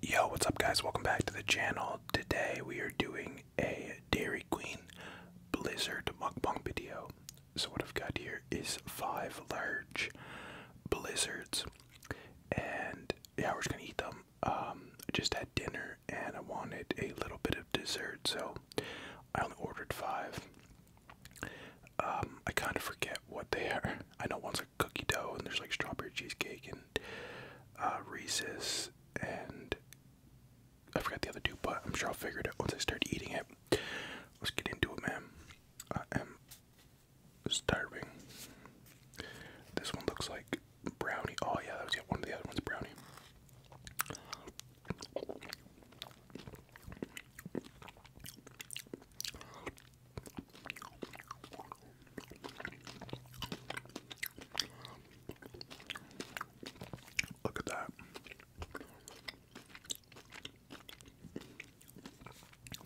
Yo, what's up, guys? Welcome back to the channel. Today we are doing a Dairy Queen Blizzard mukbang video. So, what I've got here is five large blizzards, and yeah, we're just gonna eat them. I um, just had dinner and I wanted a little bit of dessert, so I only ordered five. Um, I kind of forget what they are. I know one's a cookie dough, and there's like strawberry cheesecake and and uh, and I forgot the other two, but I'm sure I'll figure it out once I start eating it. Let's get into it, man. I am starving. This one looks like brownie. Oh yeah, that was yeah, one of the other ones, brownie. Look at that.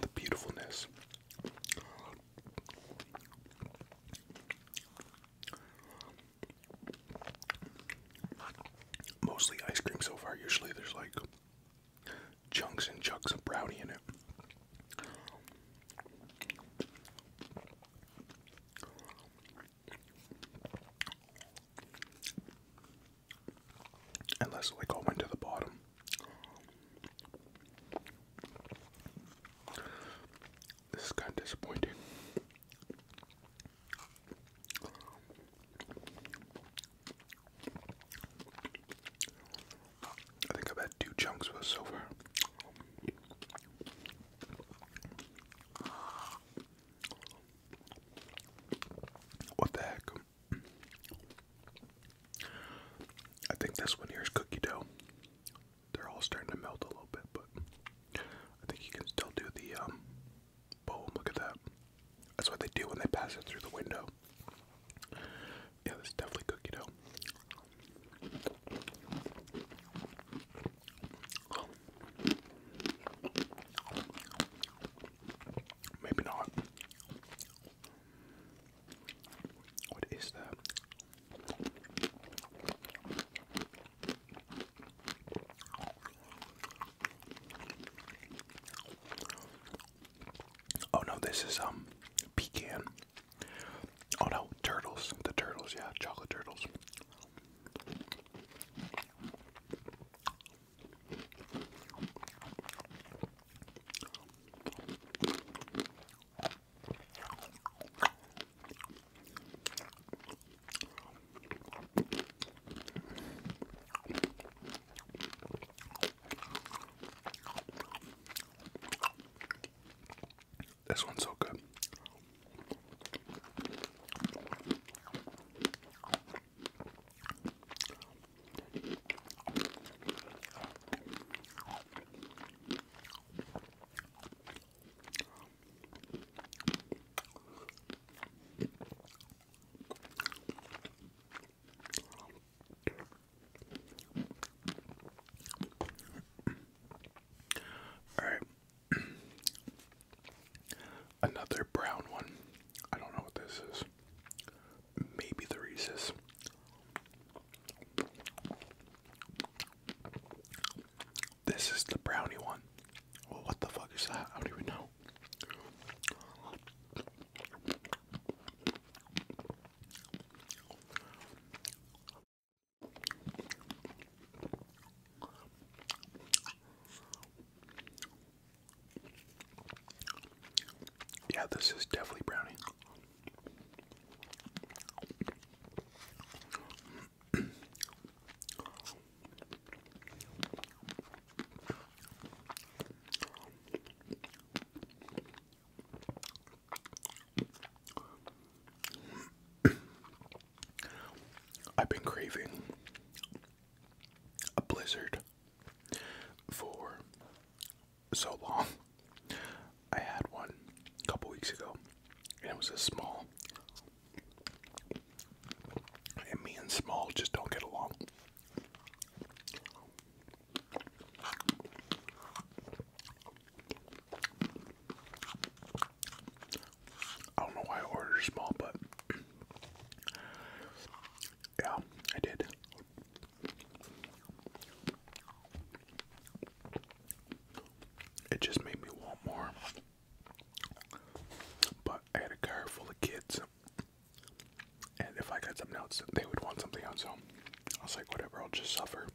The beautifulness. Mostly ice cream so far. Usually there's like chunks and chunks of brownie in it. Unless it like all the bottom. This is kind of disappointing. I think I've had two chunks of it so far. What the heck? I think this one here is cookie dough. They're all starting to melt a little bit, but I think you can still do the um, boom. Look at that. That's what they do when they pass it through the window. Yeah, this definitely cookie dough. Oh. Maybe not. What is that? Oh no, this is um pecan. Oh no, turtles. The turtles, yeah, chocolate turtles. This one's so good. All right. Another brown one. I don't know what this is. Maybe the Reese's. This is the brownie one. Well, what the fuck is that? I don't even know. Yeah, this is definitely brownie. I've been craving a blizzard for so long. I had one a couple weeks ago, and it was a small. And me and small just don't get along. I don't know why I ordered small, but yeah, I did. It just made me want more. But I had a car full of kids, and if I got something else, they would want something else. So I was like, whatever, I'll just suffer.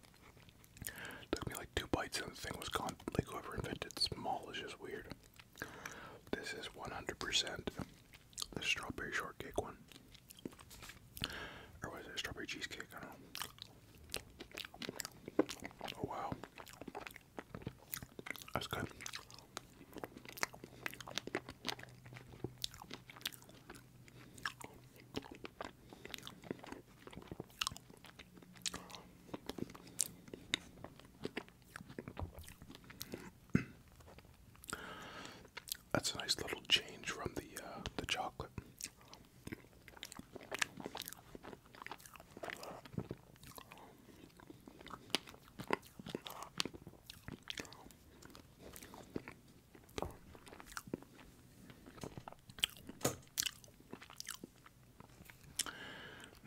It took me like two bites and the thing was gone. Like whoever invented small is just weird. This is 100% the strawberry shortcake one. Or was it strawberry cheesecake? I don't know. Oh wow. That's good. That's a nice little change from the uh, the chocolate.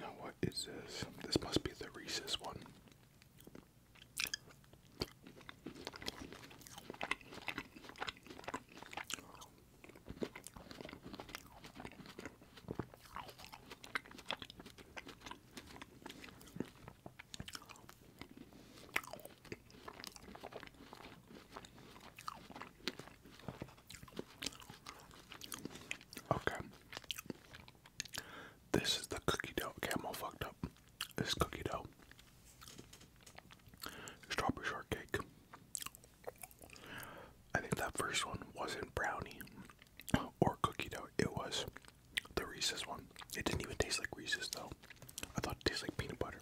Now, what is this? This must be the Reese's one. Okay. This is the cookie dough. Okay, fucked up. This cookie dough. Strawberry shortcake. I think that first one wasn't brownie or cookie dough. It was the Reese's one. It didn't even taste like Reese's though. I thought it tasted like peanut butter.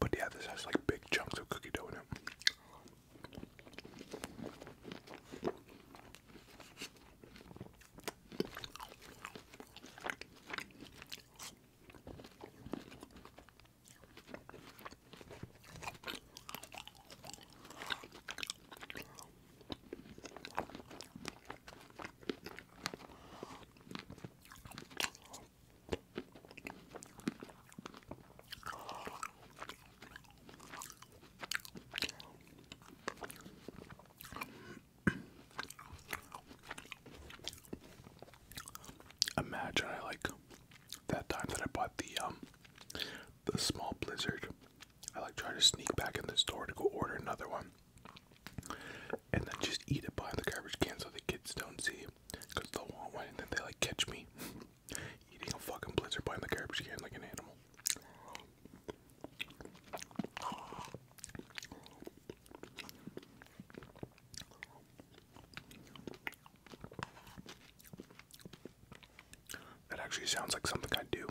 But yeah, this has like big chunks of cookie dough in it. Imagine I like that time that I bought the um the small blizzard, I like try to sneak back in the store to go order another one, and then just eat it behind the garbage can so the kids don't see, cause they'll want one and then they like catch me eating a fucking blizzard behind the garbage can like an animal. That actually sounds like something I'd do.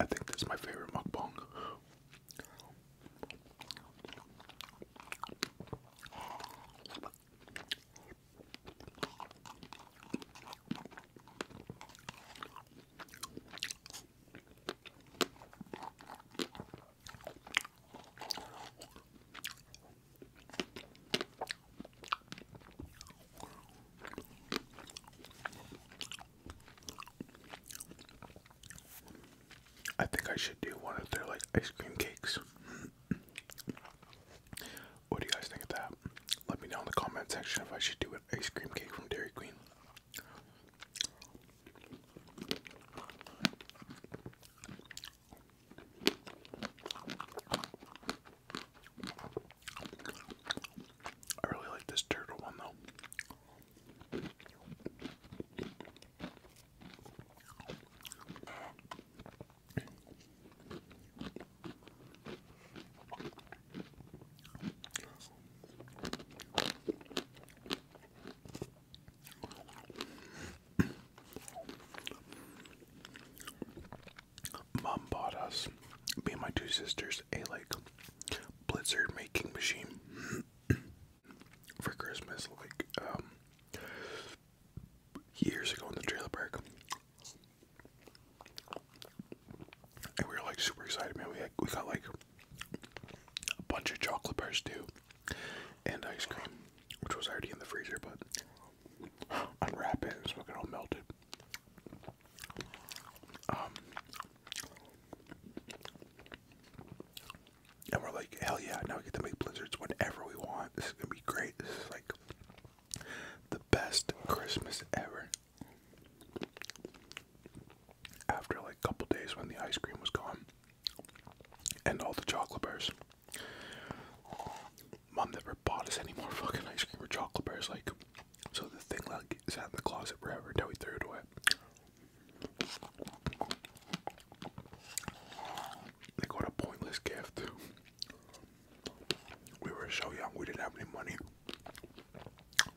I think this is my favorite mukbang. I think I should do one of their like ice cream cakes. what do you guys think of that? Let me know in the comment section if I should do an ice cream cake from Dairy Queen. I really like this turtle one though. Mom bought us, me and my two sisters, a like blizzard making machine for Christmas, like um, years ago in the trailer park. And we were like super excited, man. We we got like a bunch of chocolate bars too, and ice cream which was already in the freezer, but unwrap it, so it all melted. Um, and we're like, hell yeah, now we get to make blizzards whenever we want. This is gonna be great. This is like the best Christmas ever. After like a couple days when the ice cream was gone and all the chocolate bars. Mom never bought us any more fucking ice cream or chocolate bars, like, so the thing like out in the closet forever until we threw it away. Like what a pointless gift. We were so young, we didn't have any money.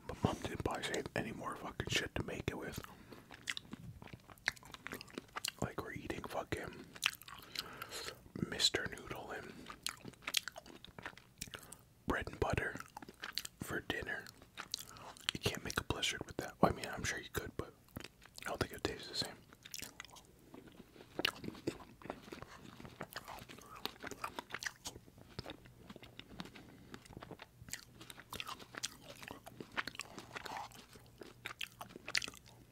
But mom didn't buy us any more fucking shit to make it with. Like we're eating fucking Mr. Noodle and bread and butter for dinner. You can't make a blizzard with that. I mean, I'm sure you could, but I don't think it tastes the same.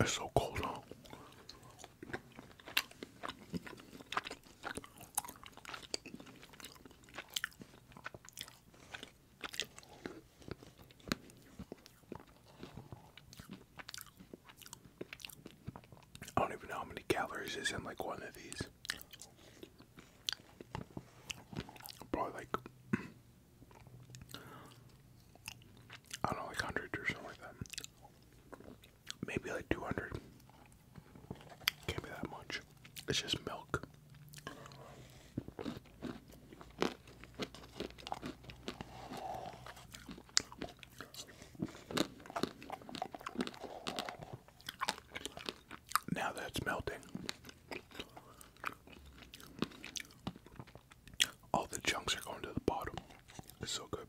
It's so cold, huh? I don't even know how many calories is in like one of these. Probably like I don't know, like hundred or something like that maybe like 200. Can't be that much. It's just milk. Now that melting, all the chunks are going to the bottom. It's so good.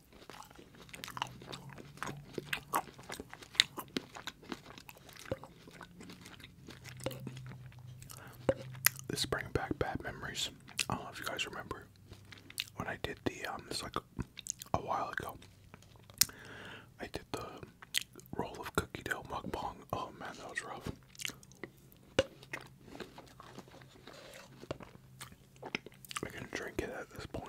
This is back bad memories. I don't know if you guys remember when I did the um, this like a while ago. I did the roll of cookie dough mukbang. Oh man, that was rough. I can drink it at this point.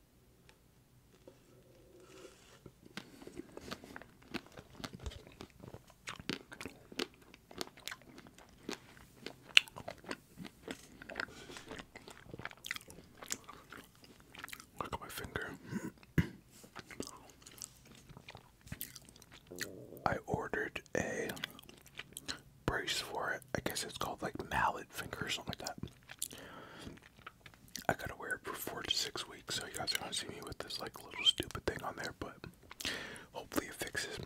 Look at my finger. I ordered a brace for it. I guess it's called like mallet finger or something like that. I gotta wear it for four to six weeks, so you guys are gonna see me with this like little stupid thing on there, but hopefully it fixes me.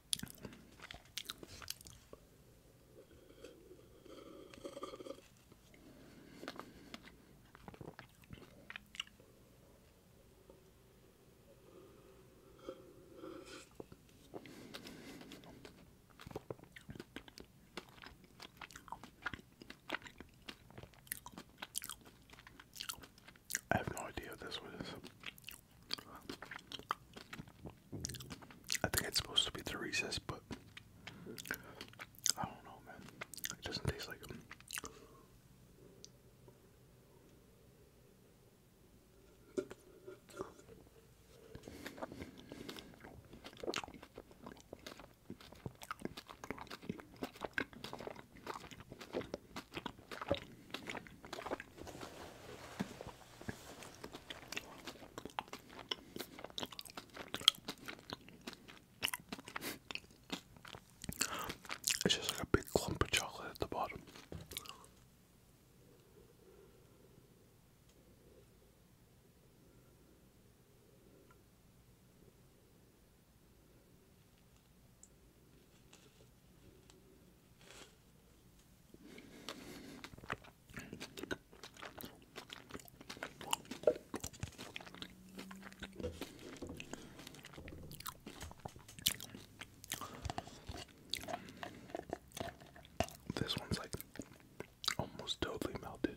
I have no idea what this was. I think it's supposed to be the recess, but I don't know, man. doesn't taste like it's just like a big clump of chocolate at the bottom. This one's like almost totally melted.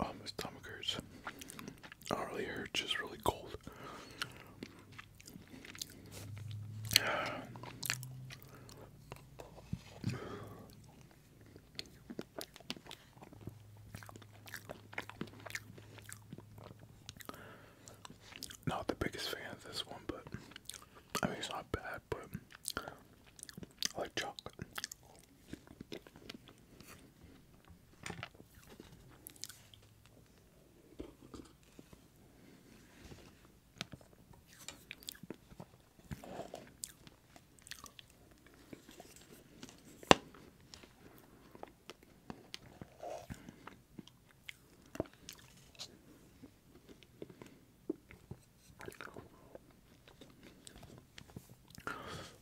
Oh, my stomach hurts. not really hurt, just really cold. Not the biggest fan of this one, but I mean, it's not bad, but I like chocolate.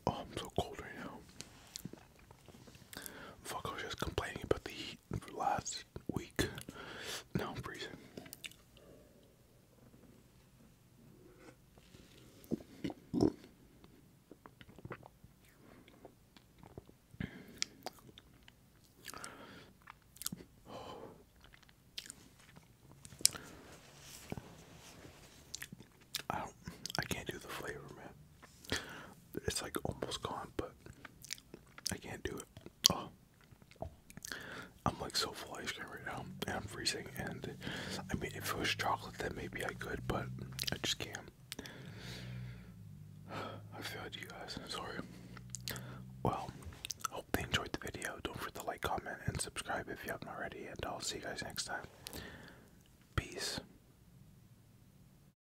Oh, I'm so cold right now. Fuck, I was just complaining about the heat last week. Now i I I can't do the flavor, man. It's like almost gone, but I can't do it. Oh. I'm like so full of ice cream right now, and I'm freezing. And I mean, if it was chocolate, then maybe I could, but I just can't. I feel like you guys. I'm sorry. Well, hope they enjoyed the video. Don't forget to like, comment, and subscribe if you haven't already. And I'll see you guys next time. Peace.